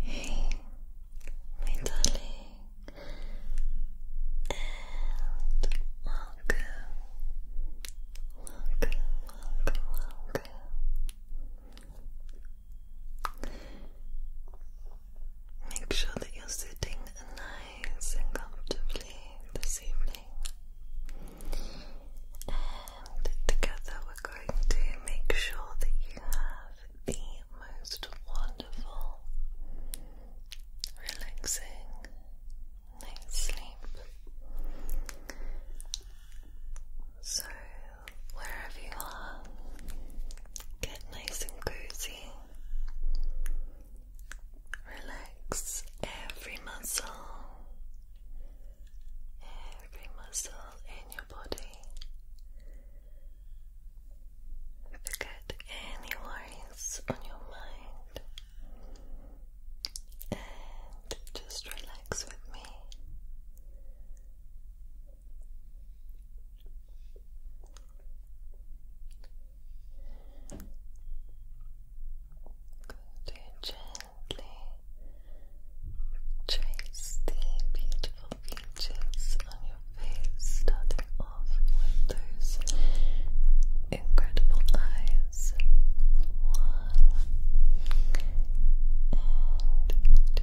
Hey, my and welcome, welcome, welcome, welcome. Make sure that you're sitting nice nice comfortably this evening. And together we're going to make sure that you have the most wonderful, relaxing night's sleep. So, wherever you are, get nice and cozy. Relax every muscle, every muscle in your body. Forget any worries on your mind and just relax with me. Could you gently trace the beautiful features on your face, starting off with those incredible eyes? One and two.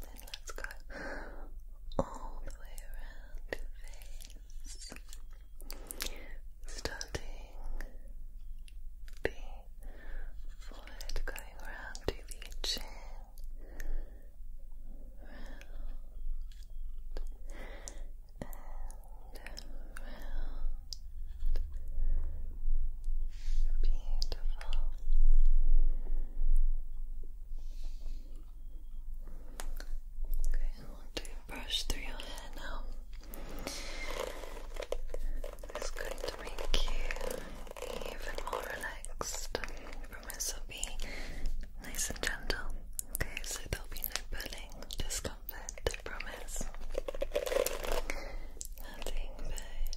Then let's go all the way around your face, starting the forehead, going around to the chin, and round. Beautiful. Okay, I want to brush through your hair now. It's going to make you even more relaxed. promise will be nice and gentle. Okay, so there'll be no pulling, discomfort, I promise. Nothing but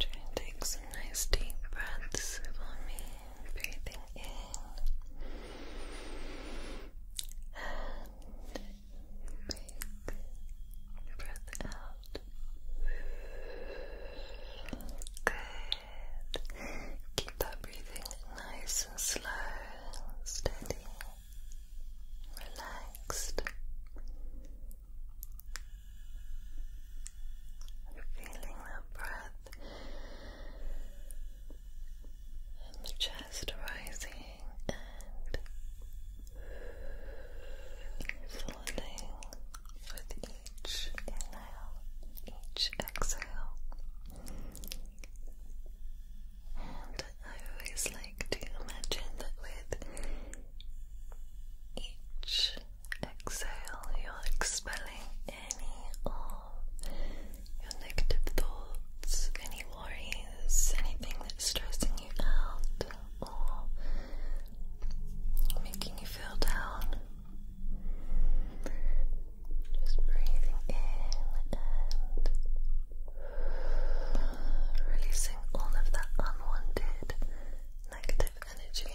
Try and take some nice deep breaths for breathing in and breath out. Good. Keep that breathing nice and slow, steady, relaxed. Feeling that breath breath the chest rising and falling with each inhale, each exhale. And I always like to imagine that with each exhale, you're expelling any of your negative thoughts, any worries, anything that's stressing you out or making you feel down. Just breathing in and releasing all of that unwanted negative energy.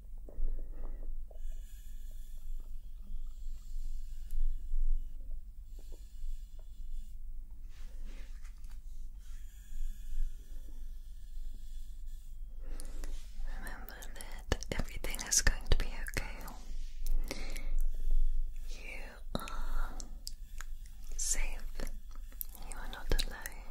Remember that everything is going to be okay. You are safe. You are not alone.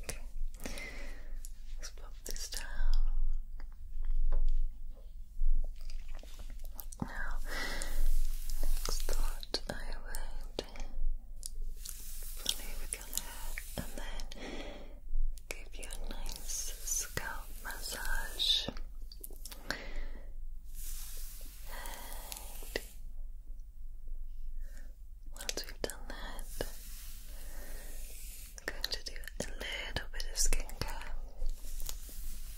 Okay. Let's blow this time, Now, next thought I would play with your hair and then give you a nice scalp massage. once we've done that, going to do a little bit of skincare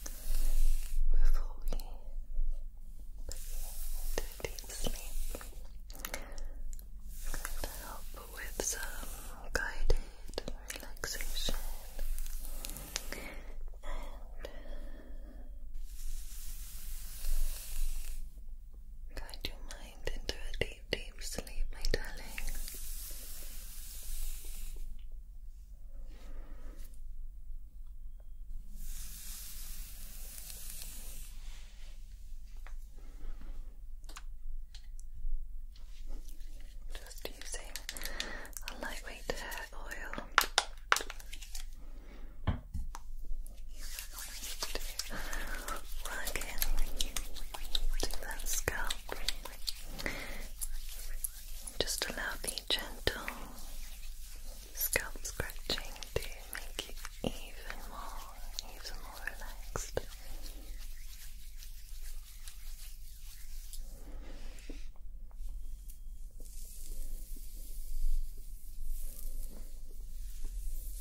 before we do deep sleep. to help with some guided relaxation and guide your mind into a deep deep, sleep, my darling. Just using a lightweight hair oil. Plugging to that scalp. Just allow the gentle scalp scratching to make you even more, even more relaxed.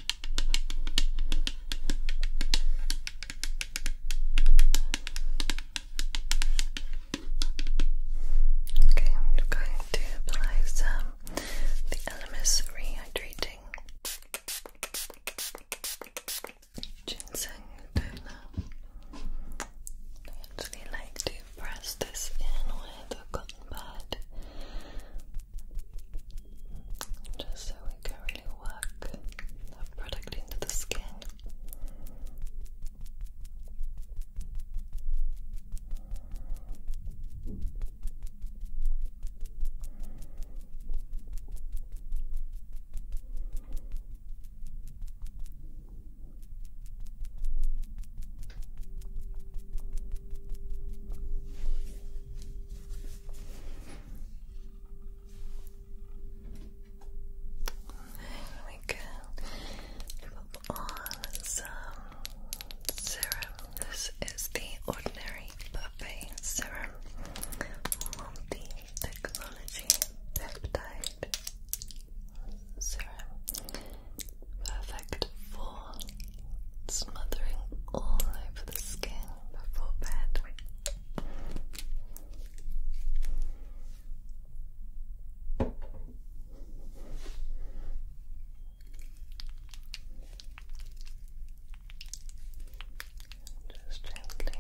Okay, I'm going to apply some the Elemis Rehydrating Ginseng Toner. I actually like to press this in with a cotton pad just so it can really work that product into the skin we can put on some serum. This is the Ordinary Buffet Serum Multi Technology Peptide Serum. Perfect for smothering all over the skin before bed. Just gently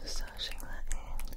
massaging that in.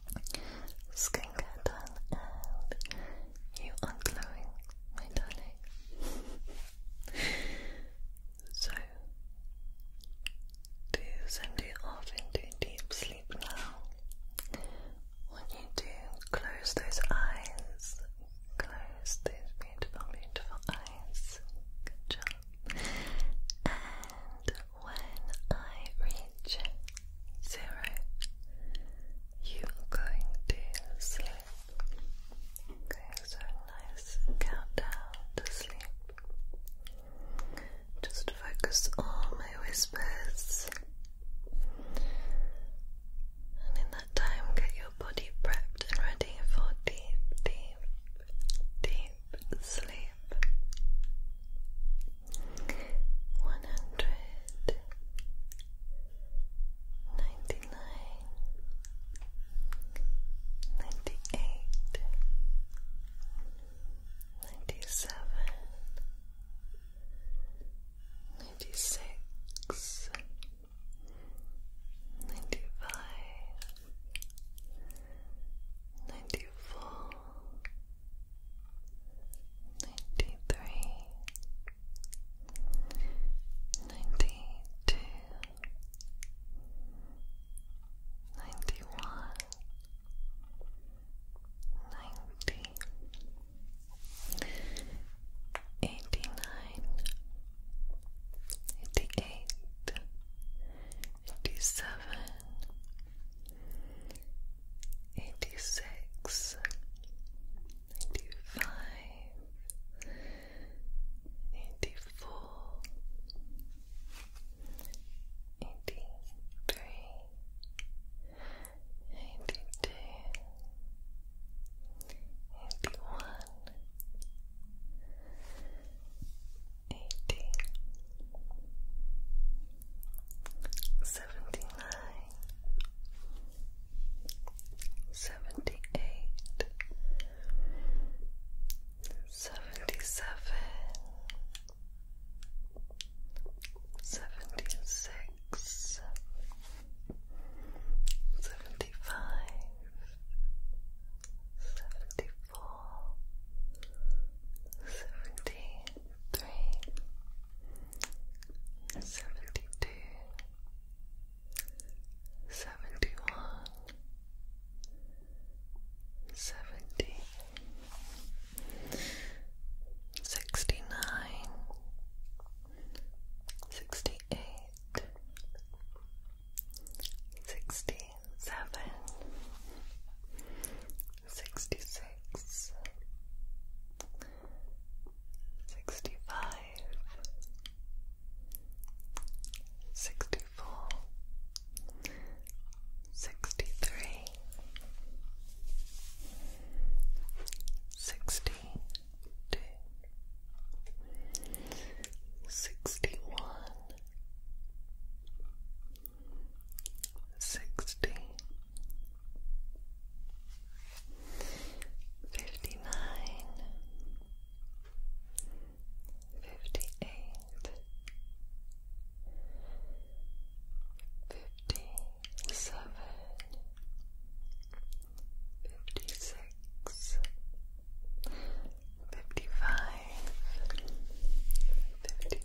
skincare done and you are glowing, my darling. so, to send you off into deep sleep now, what you do, close those eyes, close those beautiful, beautiful eyes. Good job. And when I reach zero, you are going to sleep. Okay, so nice countdown to sleep. Just focus on my whispers. And in that time, get your body prepped and ready for deep, deep, deep sleep one hundred ninety nine, ninety eight, ninety seven, ninety six, ninety five. Ninety four, ninety three, ninety two, ninety one, ninety, eighty nine, eighty eight, eighty seven. 89 86 85 84 83 eighty seventy nine seventy eight seventy seven seventy six seventy five Seventy four, seventy, 73 72 71 70 69 68 67 sixty six, sixty five, sixty four, sixty three, sixty two, sixty one. 61 62 sixty, fifty nine, fifty eight, fifty seven, fifty six. Fifty five, fifty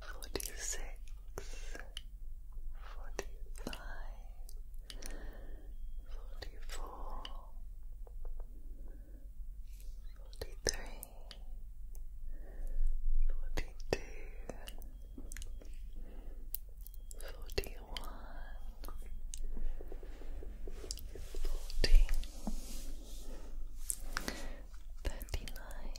forty six, forty five, forty four, forty three, forty two, forty one, forty. Thirty nine,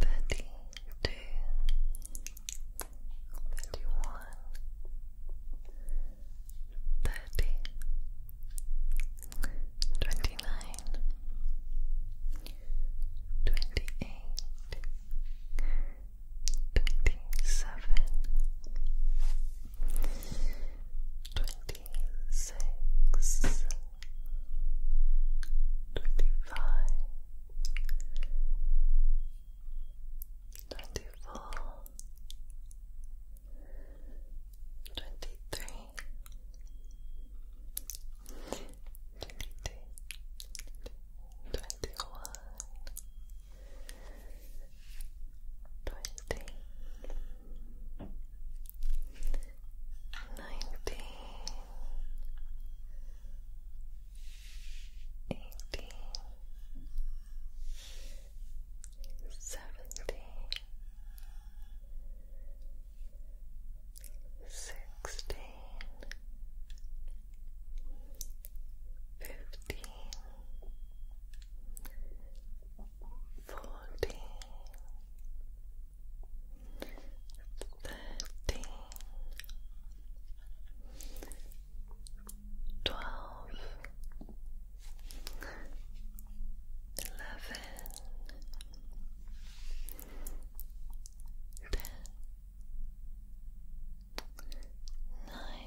thirty two, thirty one, thirty, twenty nine, twenty eight, twenty seven, twenty six. 26 twenty-five, twenty-four, twenty-three, twenty-two, twenty-one, twenty, twenty-two, nineteen, eighteen, seventeen, sixteen, fifteen, fourteen. 13 12 11 10 9 thirteen, twelve, eleven, ten, nine,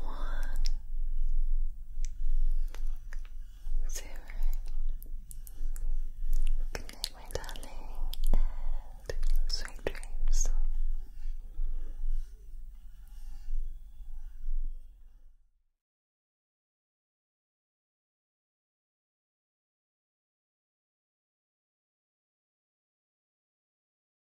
one, zero. Good my darling, and sweet dreams.